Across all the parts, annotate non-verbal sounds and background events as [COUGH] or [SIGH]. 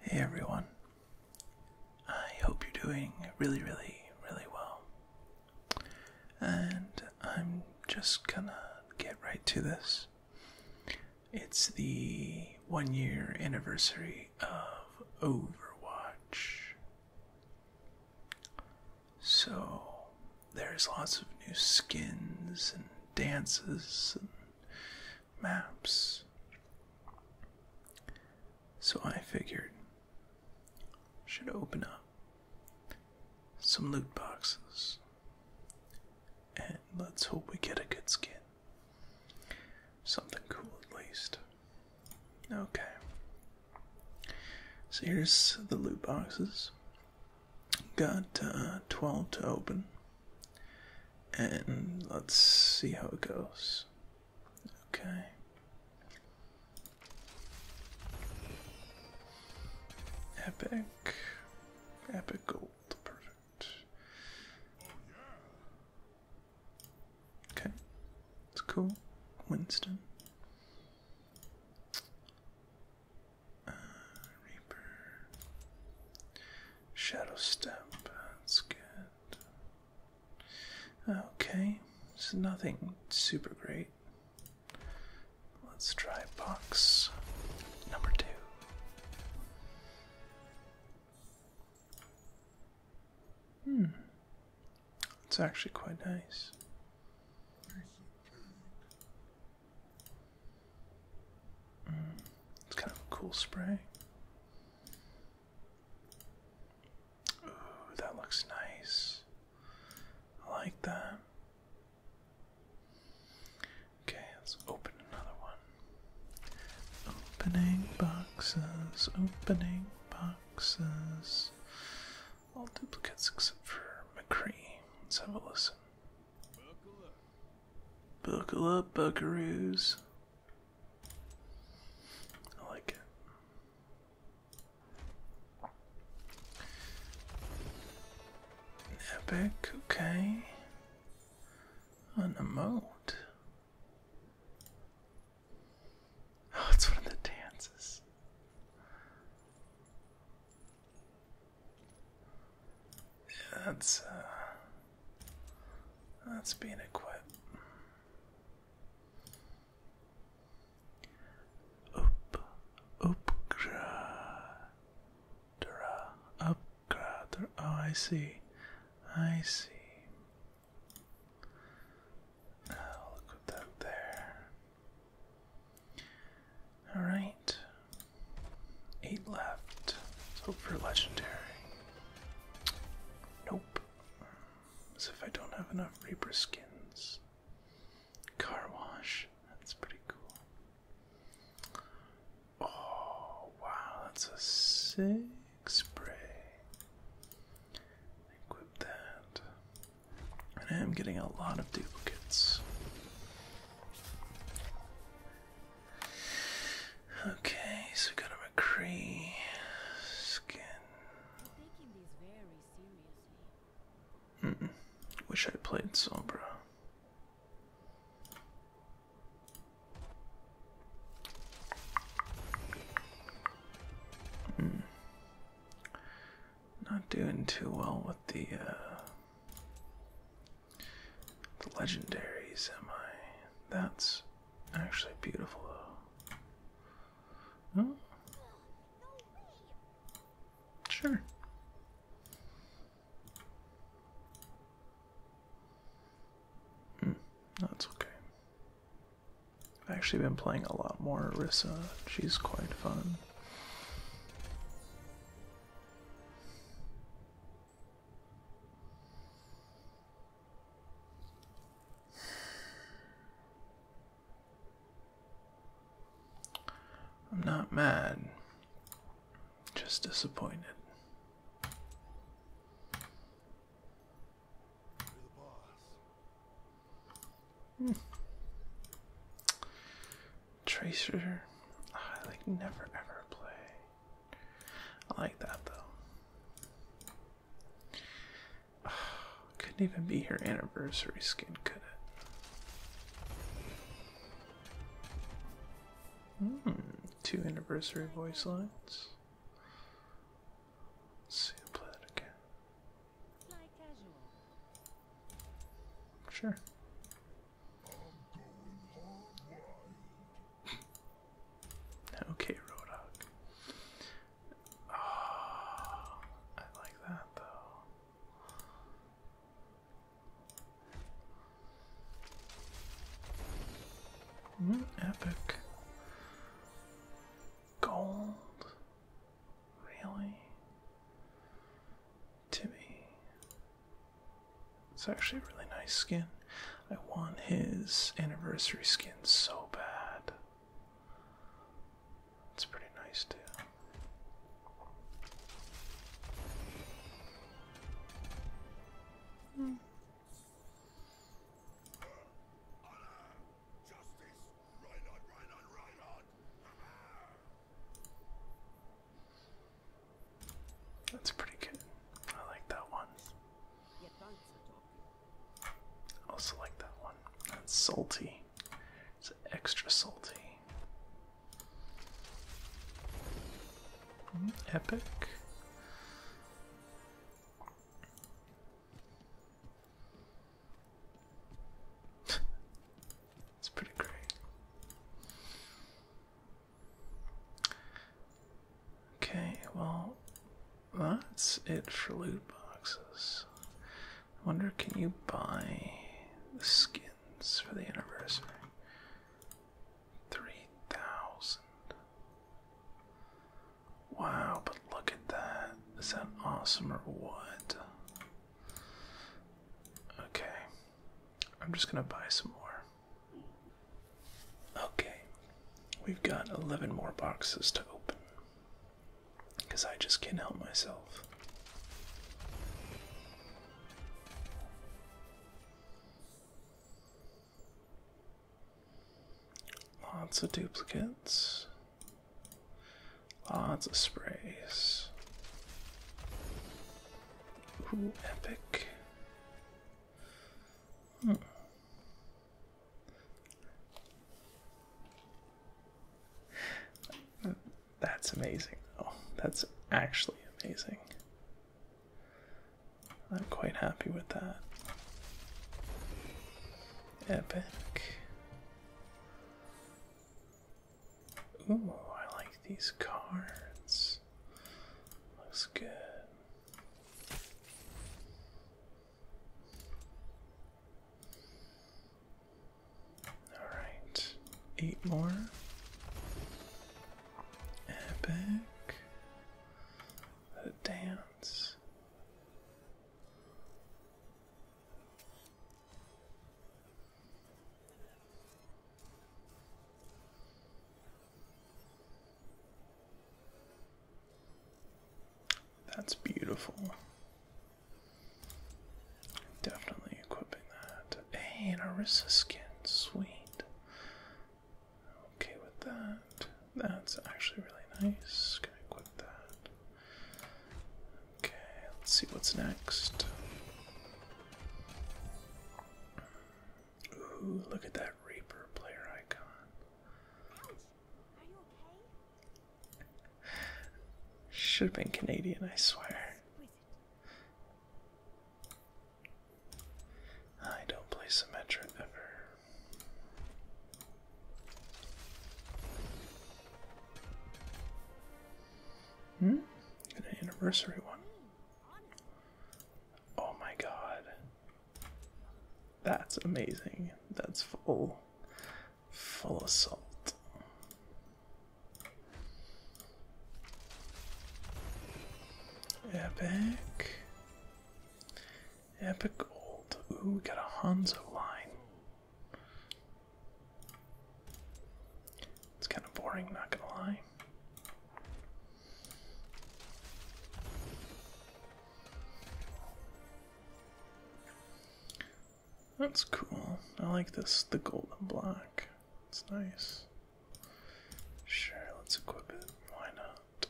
Hey everyone. I hope you're doing really, really, really well. And I'm just gonna get right to this. It's the one year anniversary of Overwatch. So, there's lots of new skins and dances and maps. So I figured should open up some loot boxes and let's hope we get a good skin. Something cool at least. Okay. So here's the loot boxes. Got uh, 12 to open. And let's see how it goes. Okay. Epic. Epic gold. Perfect. Okay. It's cool. Winston. Uh, Reaper. Shadow stamp. that's good. Okay, it's nothing super great. Let's try box number two. Hmm, it's actually quite nice. Mm. it's kind of a cool spray. Ooh, that looks nice. I like that. Okay, let's open another one. Opening boxes, opening boxes. All duplicates except for McCree. Let's have a listen. Buckle up, buckaroos. I like it. epic, okay. An emote. Oh, it's one of the dances. that's uh, that's being equipped. Up, upgra, upgra. Oh, I see. I see. I'll equip that there. All right. Eight left. let hope for legendary. Nope. As if I don't have enough Reaper skins. Car wash. That's pretty cool. Oh, wow. That's a six spray. Equip that. And I am getting a lot of duplicates. Okay, so we've got a McCree skin. Taking Wish I played Sombra. Mm. Not doing too well with the uh, the legendaries, am I? That's actually beautiful, though. Oh. Sure. Mm, that's okay. I've actually been playing a lot more Arissa. She's quite fun. I'm not mad, just disappointed. Hmm. Tracer, ah, I like never ever play. I like that though. [SIGHS] couldn't even be her anniversary skin, could it? Hmm, two anniversary voice lines. Let's see, i play that again. Sure okay, Rodok. Oh, ah, I like that though. Mm, epic gold, really? Timmy. It's actually a really nice skin. I want his anniversary skin so bad. It's pretty nice too. Hmm. That's pretty good. I like that one. Also like that one. That's salty. It's extra salty. Hmm, epic. [LAUGHS] It's pretty great. Okay, well, that's it for loot boxes. I wonder, can you buy the skins for the anniversary? 3,000. Wow, but look at that. Is that awesome or what? Okay. I'm just going to buy some more. Okay. We've got 11 more boxes to open. Because I just can't help myself. Lots of duplicates. Lots of sprays. Ooh, epic. Hmm. That's amazing, though. That's actually amazing. I'm quite happy with that. Epic. Ooh, I like these cards. Looks good. Alright, eight more. Epic. The dance. That's beautiful. Definitely equipping that. Hey, an skin, sweet. Okay with that. That's actually really nice. Gonna equip that. Okay, let's see what's next. Ooh, look at that Reaper player icon. Should have been Canadian, I swear. I don't play Symmetra ever. Hmm? an anniversary one. Oh my god. That's amazing. That's full full of salt. Epic. Epic old. Ooh, got a Hanzo line. It's kind of boring, not gonna lie. That's cool. I like this, the golden block. It's nice. Sure, let's equip it. Why not?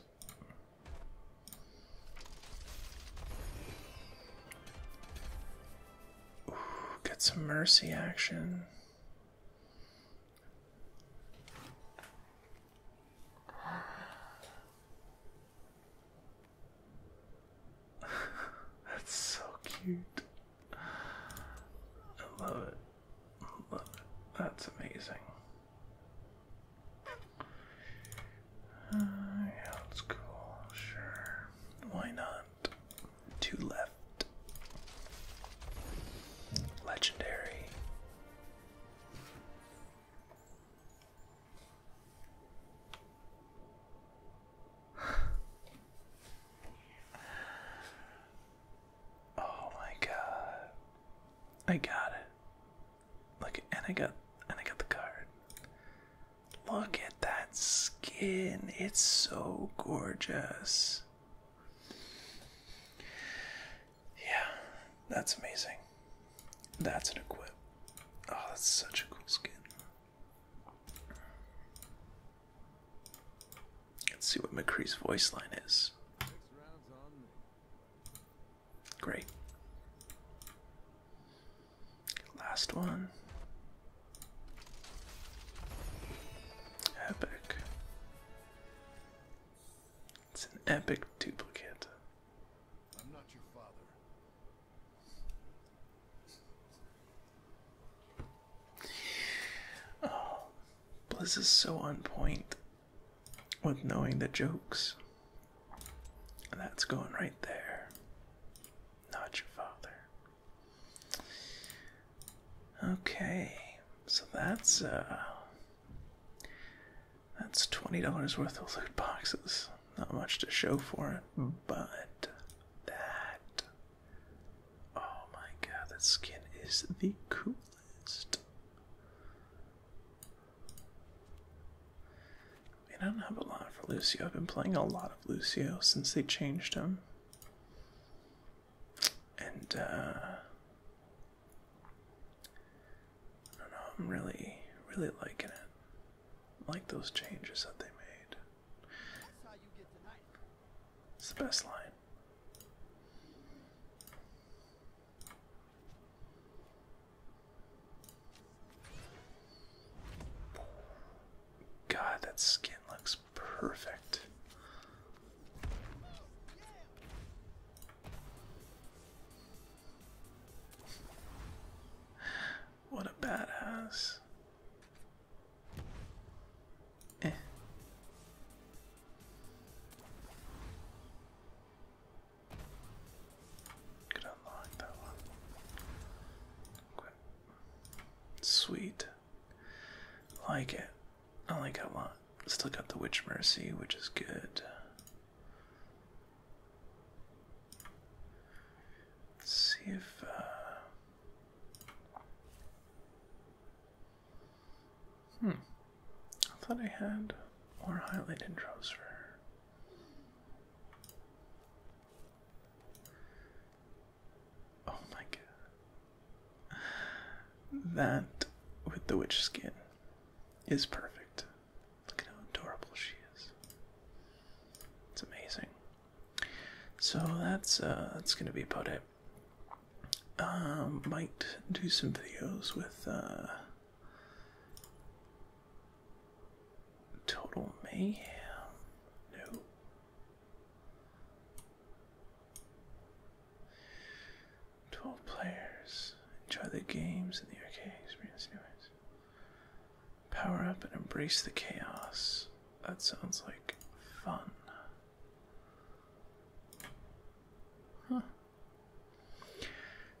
get some mercy action. [LAUGHS] That's so cute. I love it. love it. That's amazing. Uh, yeah, it's cool. Sure. Why not? front, two left. Legendary. [SIGHS] oh my god. I got it. Like and I got and I got the card. Look at that skin, it's so gorgeous. Yeah, that's amazing. That's an equip. Oh, that's such a cool skin. Let's see what McCree's voice line is. Great. Last one. Epic. It's an epic duplicate. I'm not your father. Oh, Blizz is so on point with knowing the jokes. That's going right there not your father. Okay, so that's uh that's twenty dollars worth of loot boxes. Not much to show for it, but that oh my god, that skin is the coolest. I don't have a lot for Lucio. I've been playing a lot of Lucio since they changed him. And, uh, I don't know, I'm really, really liking it. I like those changes that they made. It's the best line. God, that skin looks perfect. What a badass. Eh. Could unlock that one. Sweet. Like it. I like it one. Still got the Witch Mercy, which is good. see if uh, Hmm. I thought I had more highlight intros for Oh my god. That with the witch skin is perfect. Look at how adorable she is. It's amazing. So that's uh, that's gonna be about it. Um might do some videos with uh, Total mayhem? No. Twelve players. Enjoy the games in the arcade Power up and embrace the chaos. That sounds like fun.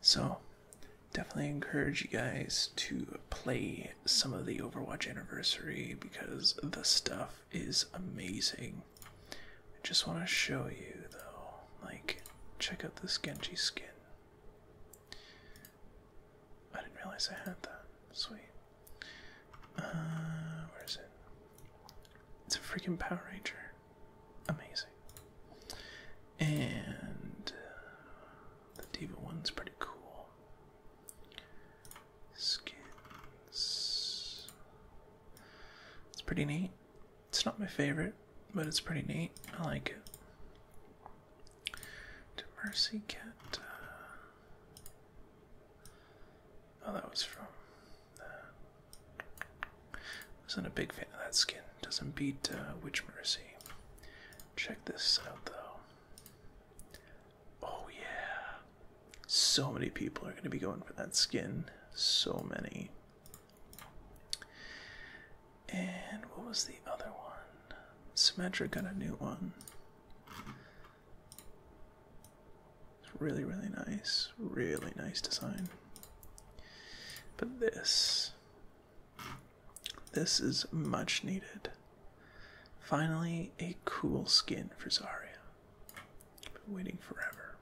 So definitely encourage you guys to play some of the Overwatch Anniversary because the stuff is amazing. I just want to show you though, like, check out this Genji skin. I didn't realize I had that. Sweet. Uh, where is it? It's a freaking Power Ranger. Amazing. And uh, the diva one's pretty cool. Skins. It's pretty neat. It's not my favorite, but it's pretty neat. I like it. To Mercy Cat. Uh, oh, that was from. Uh, wasn't a big fan of that skin. Doesn't beat uh, Witch Mercy. Check this out though. Oh yeah. So many people are going to be going for that skin. So many. And what was the other one? Symmetric got a new one. It's really, really nice. Really nice design. But this this is much needed. Finally, a cool skin for Zarya. Been waiting forever.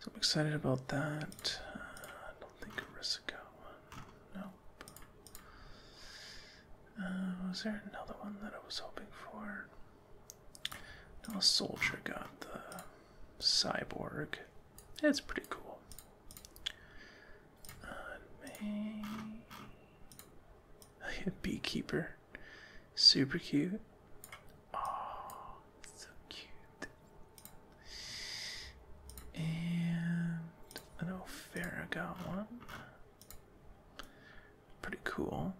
So I'm excited about that. Uh, I don't think Arisa Nope. Uh, was there another one that I was hoping for? No, soldier got the cyborg. It's pretty cool. [LAUGHS] A beekeeper. Super cute. Oh, so cute. And an Ophira got one. Pretty cool.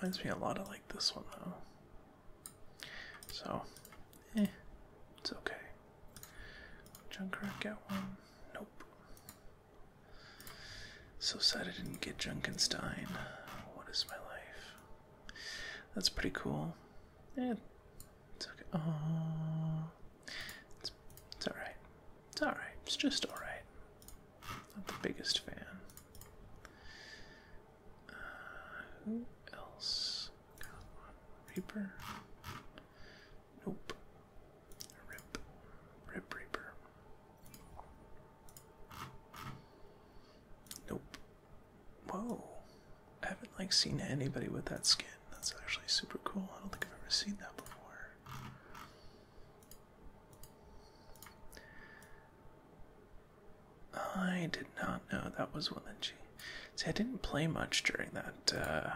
Reminds me a lot of like this one though. So, eh, it's okay. Junker got one? Nope. So sad I didn't get Junkenstein. What is my life? That's pretty cool. Yeah, it's okay. Oh, it's, it's alright. It's alright. It's just alright. Not the biggest fan. Uh, who else? Paper. Nope. Rip. Rip Reaper. Nope. Whoa. I haven't like seen anybody with that skin. That's actually super cool. I don't think I've ever seen that before. I did not know that was Willinchi. See, I didn't play much during that uh,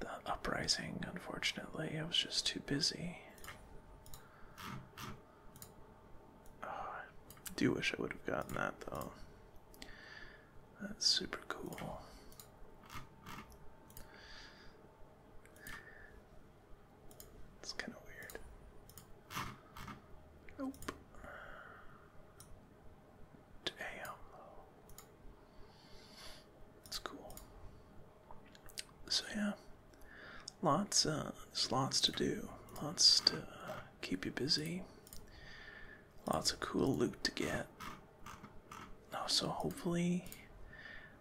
the uprising. Unfortunately, I was just too busy. Oh, I do wish I would have gotten that though. That's super cool. It's kind of weird. Nope. Damn That's cool. So yeah. Lots uh, there's lots to do. Lots to uh, keep you busy. Lots of cool loot to get. Oh, so hopefully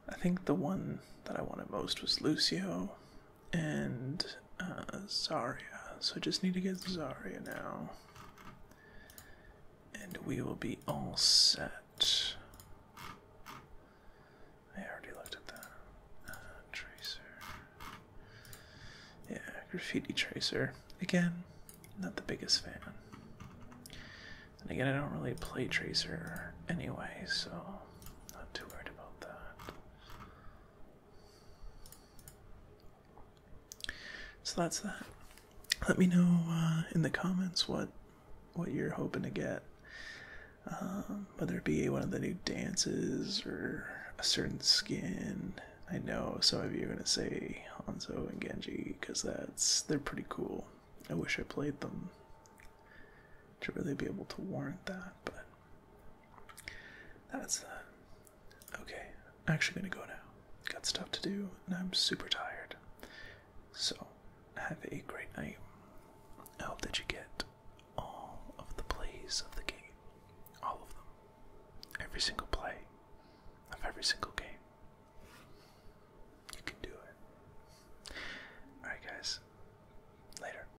I think the one that I wanted most was Lucio and uh, Zarya. So I just need to get Zarya now, and we will be all set. I already looked at that. Uh, tracer. Yeah, graffiti tracer. Again, not the biggest fan. And again, I don't really play tracer anyway, so not too worried about that. So that's that. Let me know uh, in the comments what what you're hoping to get, um, whether it be one of the new dances or a certain skin. I know some of you are gonna say Hanzo and Genji because that's they're pretty cool. I wish I played them to really be able to warrant that, but that's uh, Okay, I'm actually gonna go now. Got stuff to do, and I'm super tired. So, have a great night. I hope that you get all of the plays of the game. All of them. Every single play of every single game. You can do it. Alright, guys. Later.